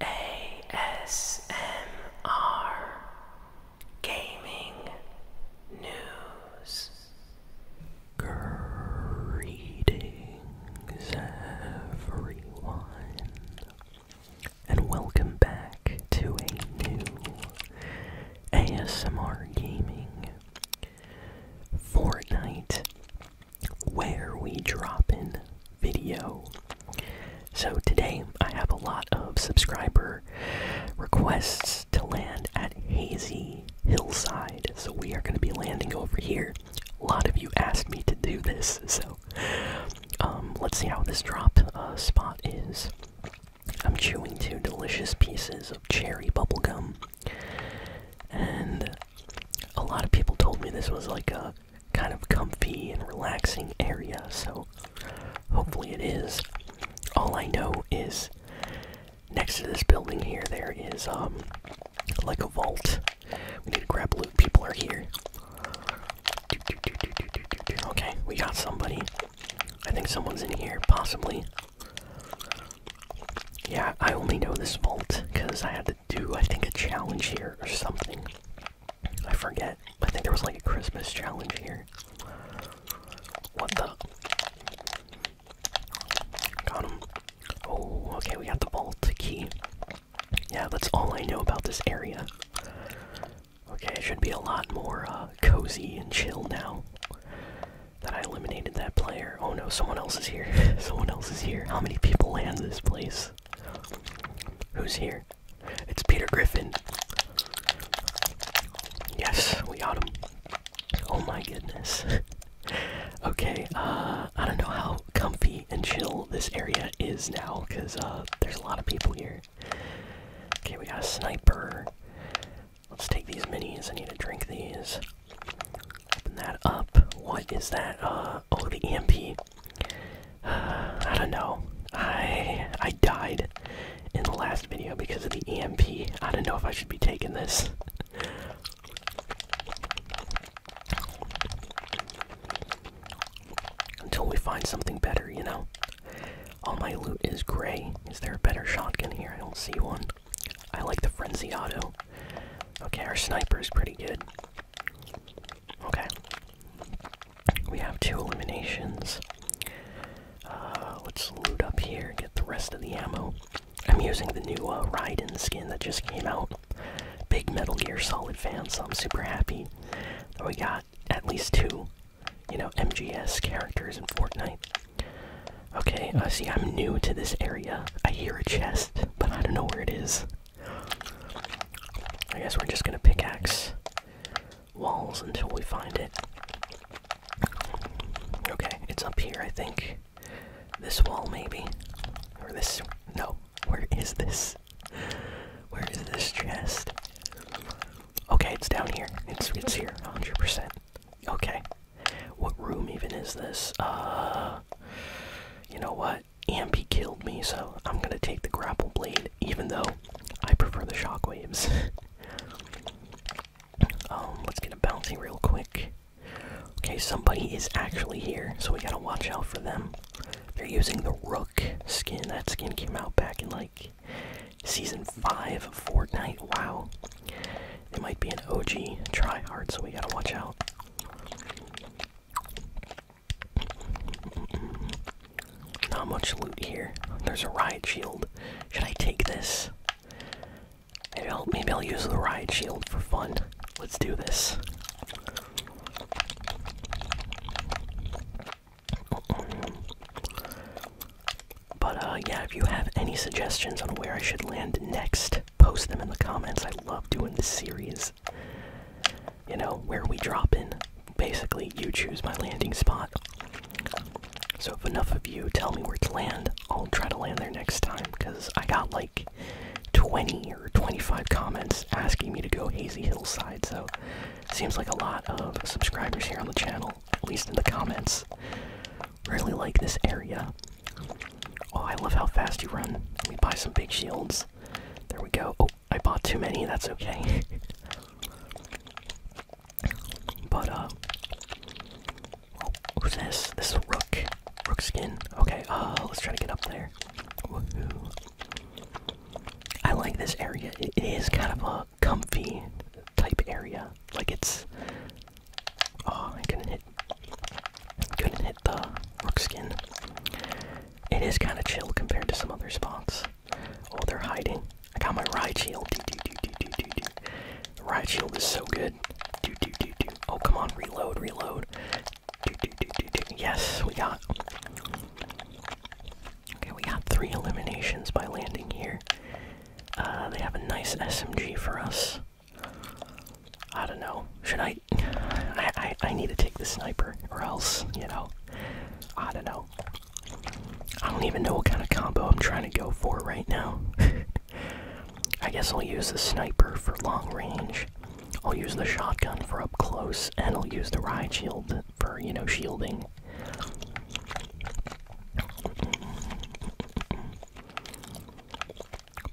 ASMR Gaming News. Greetings, everyone, and welcome back to a new ASMR Gaming Fortnite where we drop in video. So today I have a lot of subscriber requests to land at Hazy Hillside. So we are going to be landing over here. A lot of you asked me to do this, so um, let's see how this drop uh, spot is. I'm chewing two delicious pieces of cherry bubblegum. And a lot of people told me this was like a kind of comfy and relaxing area, so hopefully it is. All I know is next to this building here, there is um like a vault. We need to grab loot. People are here. Okay, we got somebody. I think someone's in here, possibly. Yeah, I only know this vault because I had to do, I think, a challenge here or something. I forget. I think there was like a Christmas challenge here. What the? Got him. Oh, okay, we got the vault key. Yeah, that's all I know about this area. Okay, it should be a lot more uh, cozy and chill now that I eliminated that player. Oh no, someone else is here. someone else is here. How many people land this place? Who's here? It's Peter Griffin. Yes, we got him. Oh my goodness. okay, uh, I don't know how comfy and chill this area is now, because uh, there's a lot of people here. Okay, we got a sniper. Let's take these minis. I need to drink these. Open that up. What is that? Uh, oh, the EMP. I don't know. I I died in the last video because of the EMP. I don't know if I should be taking this. Until we find something better, you know? All my loot is gray. Is there a better shotgun here? I don't see one. I like the frenzy auto. Okay, our sniper is pretty good. Okay. We have two eliminations. Uh, let's loot up here, and get the rest of the ammo. I'm using the new uh, Raiden skin that just came out. Big Metal Gear Solid fan, so I'm super happy that we got at least two, you know, MGS characters in Fortnite. Okay, I uh, see, I'm new to this area. I hear a chest, but I don't know where it is. I guess we're just gonna pickaxe walls until we find it. Okay, it's up here, I think. This wall, maybe? Or this. No. Where is this? Where is this chest? Okay, it's down here. It's, it's here, 100%. Okay. What room even is this? Uh. You know what? Ambi killed me, so I'm gonna take the grapple blade, even though I prefer the shockwaves. um, let's get a bouncy real quick. Okay, somebody is actually here, so we gotta watch out for them. They're using the Rook skin. That skin came out back in like season 5 of Fortnite. Wow. It might be an OG Try hard, so we gotta watch out. Not much loot here. There's a riot shield. Should I take this? Maybe I'll, maybe I'll use the riot shield for fun. Let's do this. But uh, yeah, if you have any suggestions on where I should land next, post them in the comments. I love doing this series. You know, where we drop in. Basically, you choose my landing spot. So if enough of you tell me where to land, I'll try to land there next time because I got like 20 or 25 comments asking me to go Hazy Hillside. So seems like a lot of subscribers here on the channel, at least in the comments. Really like this area. Oh, I love how fast you run. We buy some big shields. There we go. Oh, I bought too many. That's okay. but, uh. Oh, who's this? This is Rook. Rook skin. Okay, uh, let's try to get up there. I like this area. It is kind of a comfy type area. Like, it's Oh, I couldn't hit. Couldn't hit the rook skin. It is kind of chill compared to some other spots. Oh, they're hiding. I got my ride shield. Ride shield is so good. Do, do, do, do. Oh, come on, reload, reload. Do, do, do, do, do. Yes, we got. Okay, we got three eliminations by landing here. Uh, they have a nice SMG for us. I don't know. Should I? I, I I need to take the sniper, or else you know. I don't know. I don't even know what kind of combo I'm trying to go for right now. I guess I'll use the sniper for long range. I'll use the shotgun for up close, and I'll use the ride shield for you know shielding.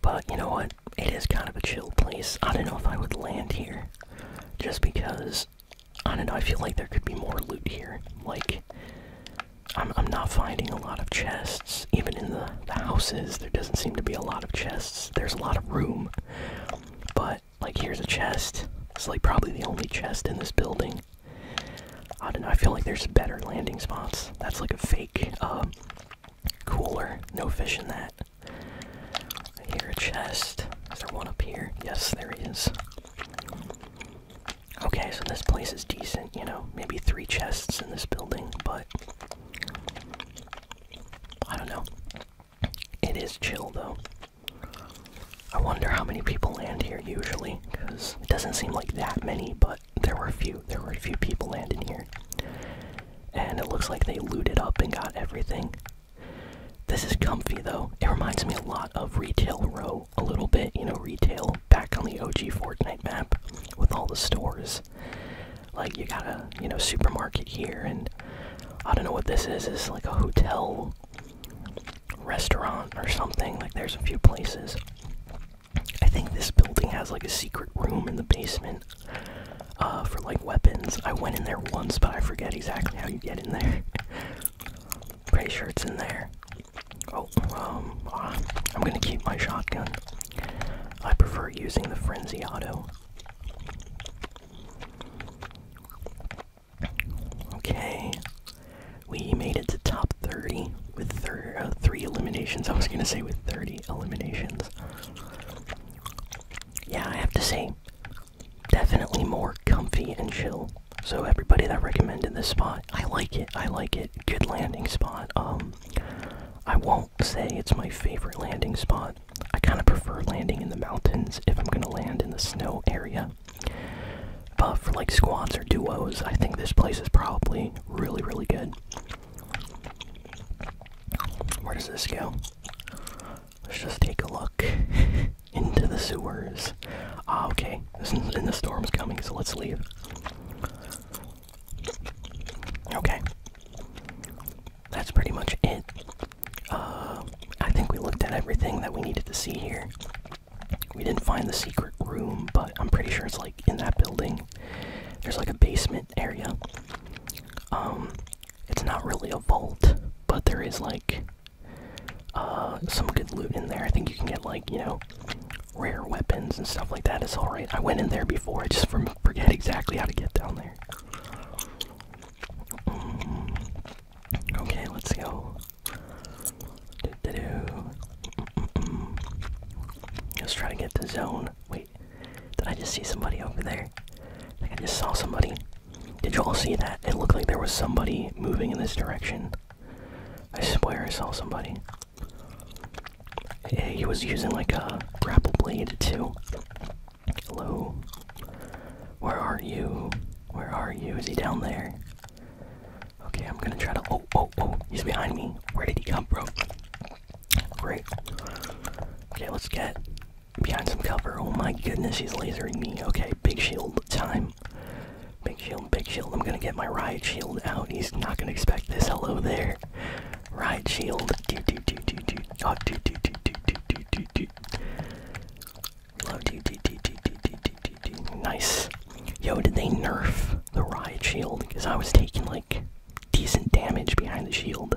But you know what? It is kind of a chill place. I don't know if I would land here. Just because, I don't know, I feel like there could be more loot here. Like, I'm, I'm not finding a lot of chests. Even in the, the houses, there doesn't seem to be a lot of chests. There's a lot of room. But, like, here's a chest. It's like probably the only chest in this building. I don't know. I feel like there's better landing spots. That's like a fake um, cooler. No fish in that. I hear a chest. Is there one up here? Yes, there is. Okay, so this place is decent. You know, maybe three chests in this building, but I don't know. It is chill though. I wonder how many people land here usually, because it doesn't seem like that many, but there were a few. There were a few people landing here. And it looks like they looted up and got everything. This is comfy though. It reminds me a lot of Retail Row a little bit, you know, retail back on the OG Fortnite map with all the stores. Like you got a, you know, supermarket here and I don't know what this is. It's like a hotel restaurant or something. Like, there's a few places. I think this building has like a secret room in the basement uh, for like weapons. I went in there once, but I forget exactly how you get in there. Pretty sure it's in there. Oh, um, ah, I'm gonna keep my shotgun. I prefer using the Frenzy Auto. Okay. We made it to top 30 with uh, three eliminations. I was going to say with 30 eliminations. Yeah, I have to say, definitely more comfy and chill. So everybody that recommended this spot, I like it. I like it. Good landing spot. Um, I won't say it's my favorite landing spot. I kind of prefer landing in the mountains if I'm gonna land in the snow area. But for like squads or duos, I think this place is probably really, really good. Where does this go? Let's just take a look into the sewers. Ah, okay. and the storm's coming, so let's leave. Okay. That's pretty much it. Uh, I think we looked at everything that we needed to see here. We didn't find the secret room, but I'm pretty sure it's like in that building. There's like a basement area. Um, it's not really a vault, but there is like uh, some good loot in there. I think you can get like, you know, rare weapons and stuff like that. It's alright. I went in there before, I just forget exactly how to get down there. Mm. Okay, let's go. Do -do -do. Let's try to get the zone. Wait, did I just see somebody over there? I just saw somebody. Did you all see that? It looked like there was somebody moving in this direction. I swear I saw somebody. He was using like a grapple blade too. Hello? Where are you? Where are you? Is he down there? Okay, I'm gonna try to. Oh, oh, oh, he's behind me. Where did he come from? Great. Okay, let's get behind some cover. Oh my goodness, he's lasering me. Okay, big shield time. Big shield, big shield. I'm gonna get my riot shield out. He's not gonna expect this. Hello there. Riot shield. Nice. Yo, did they nerf the riot shield? Because I was taking like decent damage behind the shield.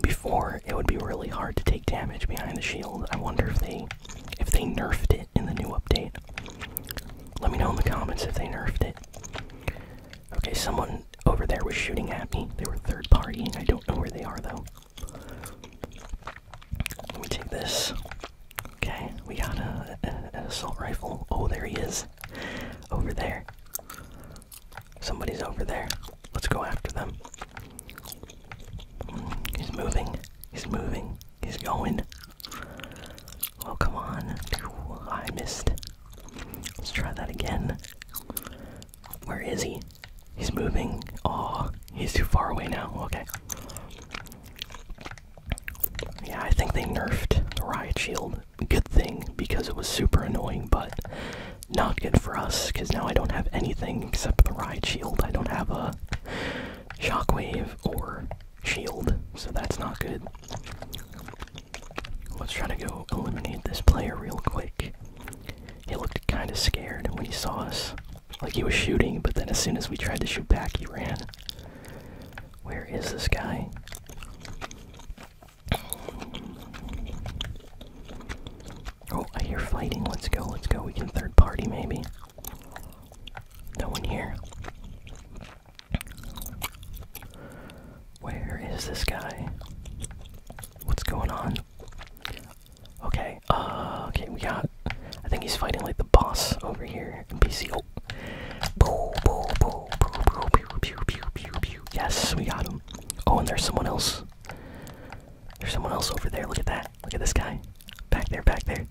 Before it would be really hard to take damage behind the shield. I wonder if they if they nerfed it in the new update. Let me know in the comments if they nerfed it. Okay, someone over there was shooting at me. They were third party. I don't know where they are though. We take this. Okay, we got a, an assault rifle. Oh, there he is. Over there. Somebody's over there. Let's go after them. He's moving. He's moving. He's going. Oh, come on. I missed. Let's try that again. Where is he? He's moving. Oh, he's too far away now. Okay. Yeah, I think they nerfed the riot shield. Good thing because it was super annoying, but not good for us because now I don't have anything except the riot shield. I don't have a shockwave or shield, so that's not good. Let's try to go eliminate this player real quick. He looked kind of scared when he saw us. Like he was shooting, but then as soon as we tried to shoot back, he ran. Where is this guy? Oh, I hear fighting. Let's go, let's go. We can third party maybe. No one here. Where is this guy? What's going on? Okay, uh, okay, we got. I think he's fighting like the boss over here. NPC. Oh. Boo, boo, boo, pew, pew, pew, pew. Yes, we got him. Oh, and there's someone else. There's someone else over there. Look at that. Look at this guy. Back there, back there.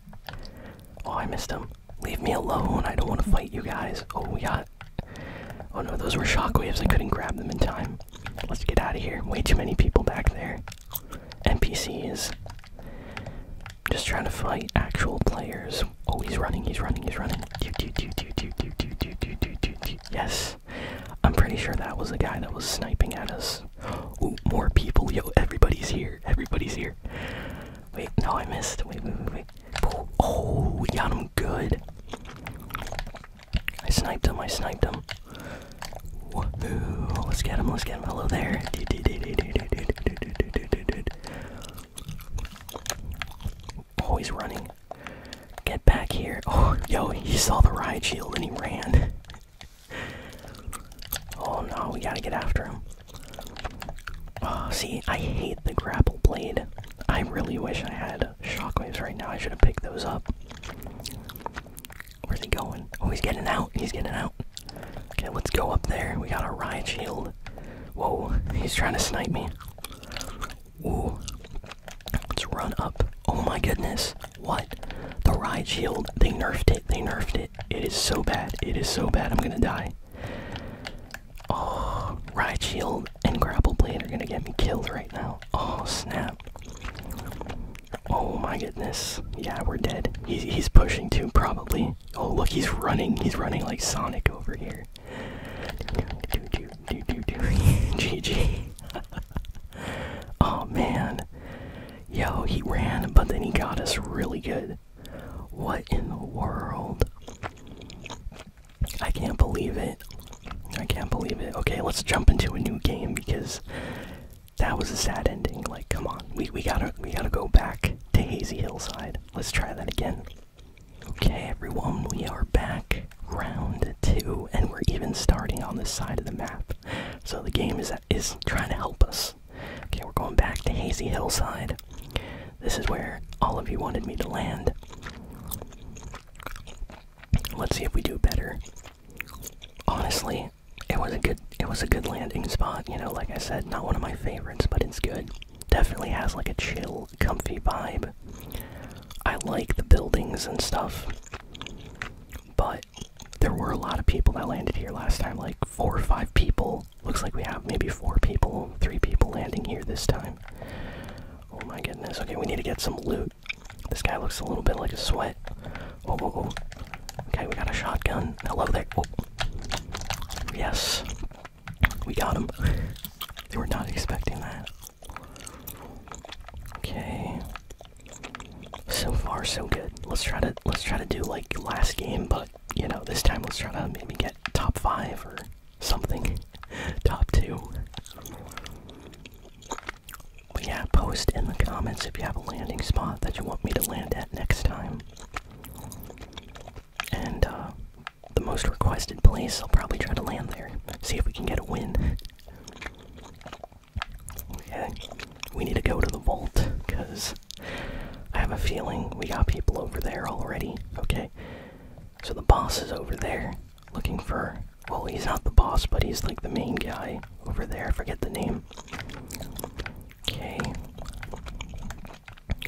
Oh, I missed him. Leave me alone. I don't want to fight you guys. Oh, we got. Oh no, those were shockwaves. I couldn't grab them in time. Let's get out of here. Way too many people back there. NPCs. Just trying to fight actual players. Oh, he's running, he's running, he's running. Yes. I'm pretty sure that was the guy that was sniping at us. Ooh, more people. Yo, everybody's here. Everybody's here. Wait, no, I missed. Wait, wait, wait, wait. Oh, we got him good. I sniped him, I sniped him. Let's get him, let's get him. Hello there. Oh, running. Get back here. Oh, yo, he saw the riot shield and he ran. oh no, we gotta get after him. Oh, see, I hate the grapple blade. I really wish I had shockwaves right now. I should have picked those up. Where's he going? Oh, he's getting out. He's getting out. Okay, let's go up there. We got a riot shield. Whoa, he's trying to snipe me. Ooh. Let's run up. Oh my goodness. What? The riot shield. They nerfed it. They nerfed it. It is so bad. It is so bad. I'm gonna die. Oh, Ride Shield and Grapple Blade are gonna get me killed right now. Oh, snap. Oh my goodness. Yeah, we're dead. He's, he's pushing too, probably. Oh, look, he's running. He's running like Sonic over here. GG. oh man. Yo, he ran, but then he got us really good. What in the world? I can't believe it. I can't believe it. Okay, let's jump into a new game because that was a sad ending. Like, come on, we we gotta we gotta go back to Hazy Hillside. Let's try that again. Okay, everyone, we are back round two, and we're even starting on this side of the map. So the game is is trying to help us. Okay, we're going back to Hazy Hillside. This is where all of you wanted me to land. Let's see if we do better. Honestly, it was a good it was a good landing spot, you know, like I said, not one of my favorites, but it's good. Definitely has like a chill, comfy vibe. I like the buildings and stuff. But there were a lot of people that landed here last time, like four or five people. Looks like we have maybe four people, three people landing here this time. Oh my goodness. Okay, we need to get some loot. This guy looks a little bit like a sweat. Oh, oh, oh. Okay, we got a shotgun. Hello there. Oh. Yes. We got him. they were not expecting that. Okay. So far so good. Let's try to let's try to do like last game, but you know, this time let's try to maybe get top five or something. Top two. But yeah, post in the comments if you have a landing spot that you want me to land at next time. And uh, the most requested place, I'll probably try to land there. See if we can get a win. Okay, we need to go to the vault because I have a feeling we got people over there already. Okay, so the boss is over there looking for. Well, he's not the boss, but he's like the main guy over there. forget the name. Okay.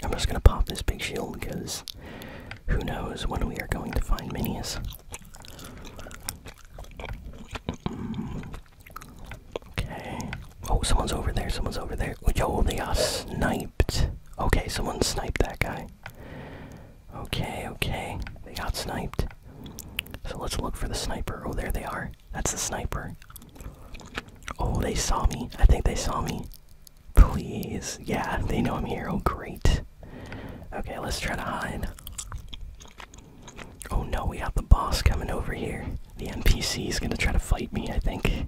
I'm just gonna pop this big shield because who knows when we are going to find minis. Mm-hmm. Okay. Oh, someone's over there. Someone's over there. Oh, they are sniped. Okay, someone sniped that guy. Okay, okay. They got sniped. So let's look for the sniper. Oh, there they are. That's the sniper. Oh, they saw me. I think they saw me. Please. Yeah, they know I'm here. Oh, great. Okay, let's try to hide. Oh no, we have the boss coming over here. The NPC is gonna try to fight me, I think.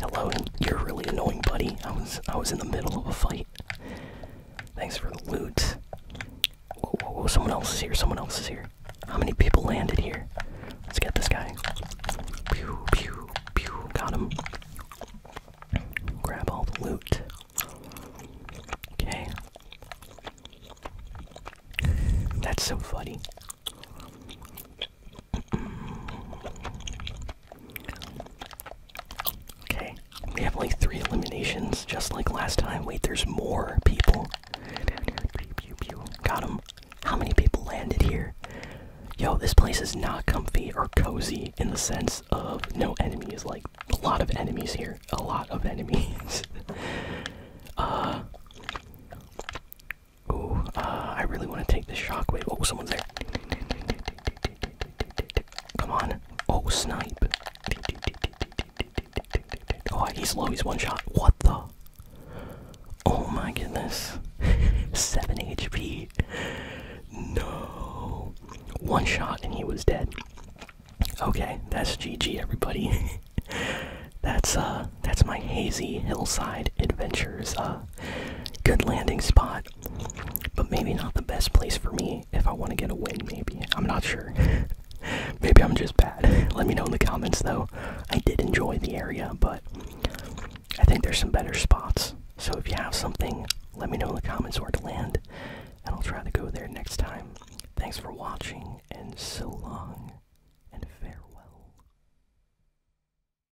Hello, you're really annoying, buddy. I was I was in the middle of a fight. Thanks for the loot. Whoa, whoa, whoa! Someone else is here. Someone else is here. How many people landed here? Let's get this guy. Pew pew pew. Got him. Grab all the loot. Okay. That's so funny. Okay, we have like three eliminations, just like last time. Wait, there's more people. Got him. How many people landed here? Yo, this place is not comfy or cozy in the sense of no enemies. Like, a lot of enemies here. A lot of enemies. uh. Ooh, uh, I really want to take this shockwave. Oh, someone's there. Come on. Oh, snipe. Oh, he's low. He's one shot. What the? Oh my goodness. 7 HP. No. One shot and he was dead. Okay, that's GG everybody. that's uh that's my hazy hillside adventures. Uh good landing spot but maybe not the best place for me if I want to get a win, maybe. I'm not sure. maybe I'm just bad. Let me know in the comments though. I did enjoy the area, but I think there's some better spots. So if you have something, let me know in the comments where to land, and I'll try to go there next time. Thanks for watching, and so long, and farewell.